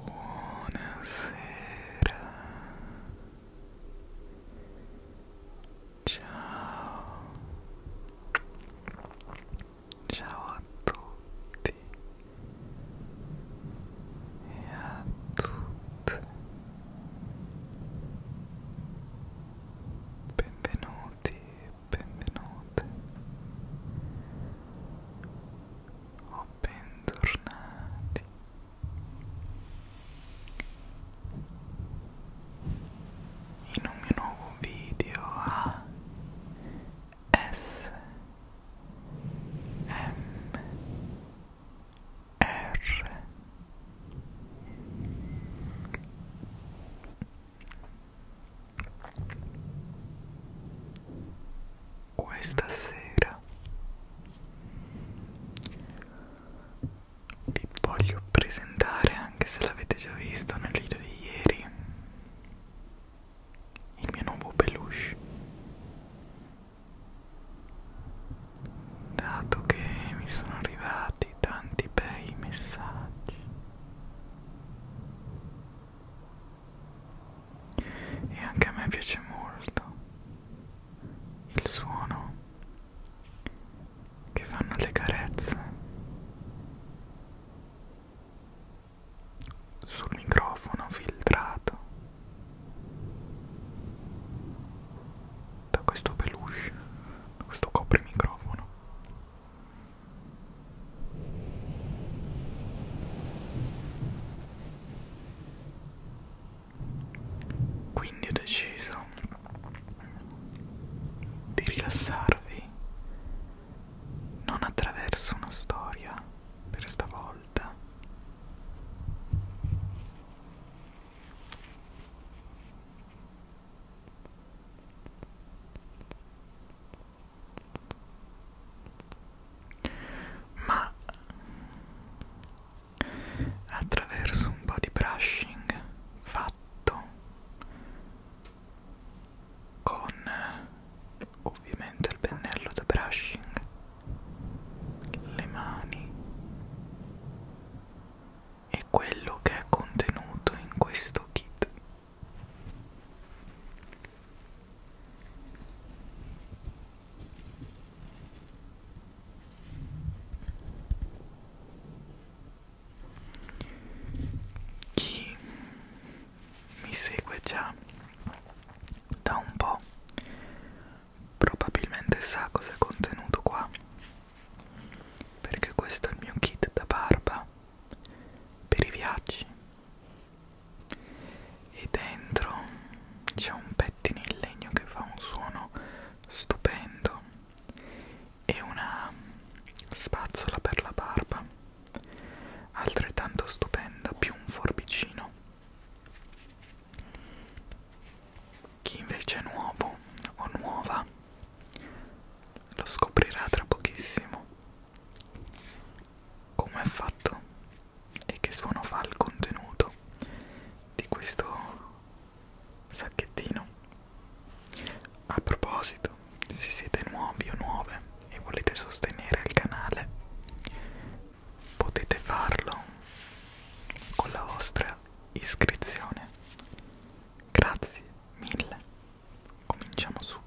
Buonasera. Ciao. Ciao a tutti e a tutte benvenuti e benvenute o bentornati in un mio nuovo video a S M R questa sera vi voglio presentare, anche se l'avete già visto nel video di ieri, il mio nuovo peluche dato che mi sono arrivati tanti bei messaggi e anche a me piace molto il suono che fanno le carezze sul microfono filtrato da questo peluche, da questo coprimicrofono. Quindi ho deciso di rilassarvi non attraverso una storia per stavolta volta. Ma attraverso un po' di brushing fatto con ovviamente il pennello da brushing le mani e quello che è contenuto in questo kit. Chi mi segue già da un po' probabilmente sa cosa è contenuto qua perché questo è il mio kit da barba per i viaggi e dentro c'è un pettine in legno che fa un suono stupendo e una spazzola per la barba altrettanto stupenda più un forbicino chi invece è nuovo o nuova lo scoprirà tra pochissimo come è fatto e che suono fa il contenuto di questo sacchettino. A proposito, se siete nuovi o nuove e volete sostenere il canale, potete farlo con la vostra iscrizione. Grazie mille. Cominciamo subito.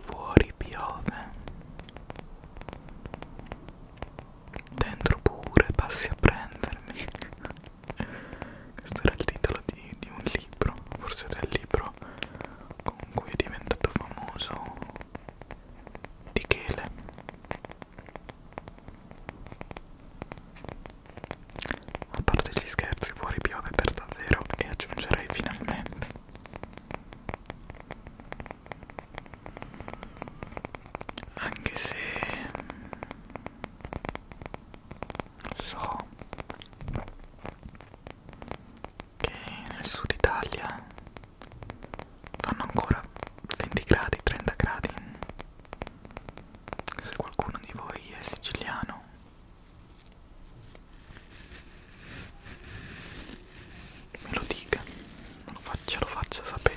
Fuori piove, dentro pure passi a prendermi questo era il titolo di, di un libro, forse del libro con cui è diventato famoso di Chele. A parte gli scherzi, fuori piove per davvero e aggiungerei finalmente. Anche se so che nel sud Italia fanno ancora 20 gradi, 30 gradi. Se qualcuno di voi è siciliano me lo dica, me lo faccia, lo faccia sapere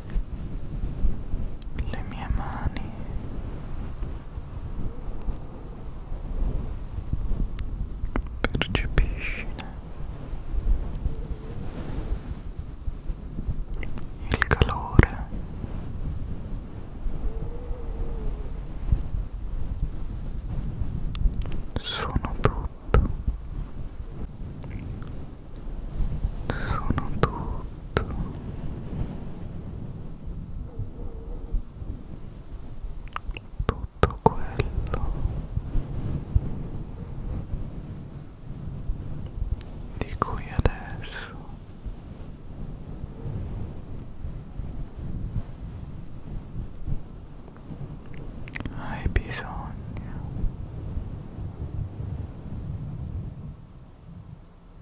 le mie mani percepisci il calore sono tutto sono tutto tutto tutto quello di cui adesso hai bisogno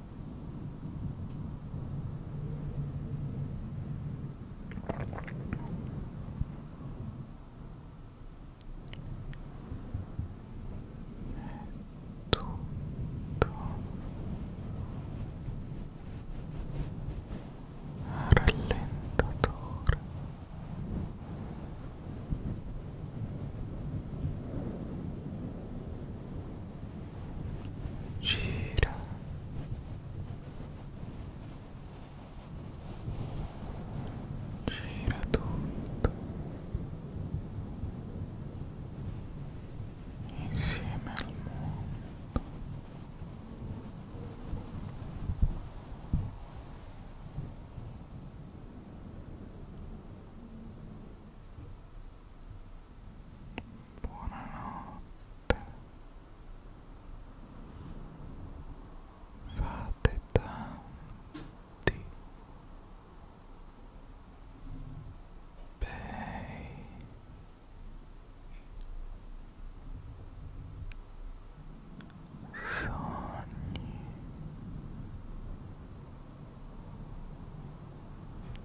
tutto rallentatore gira gira tutto insieme al mondo Buonanotte fate tanti bei sogni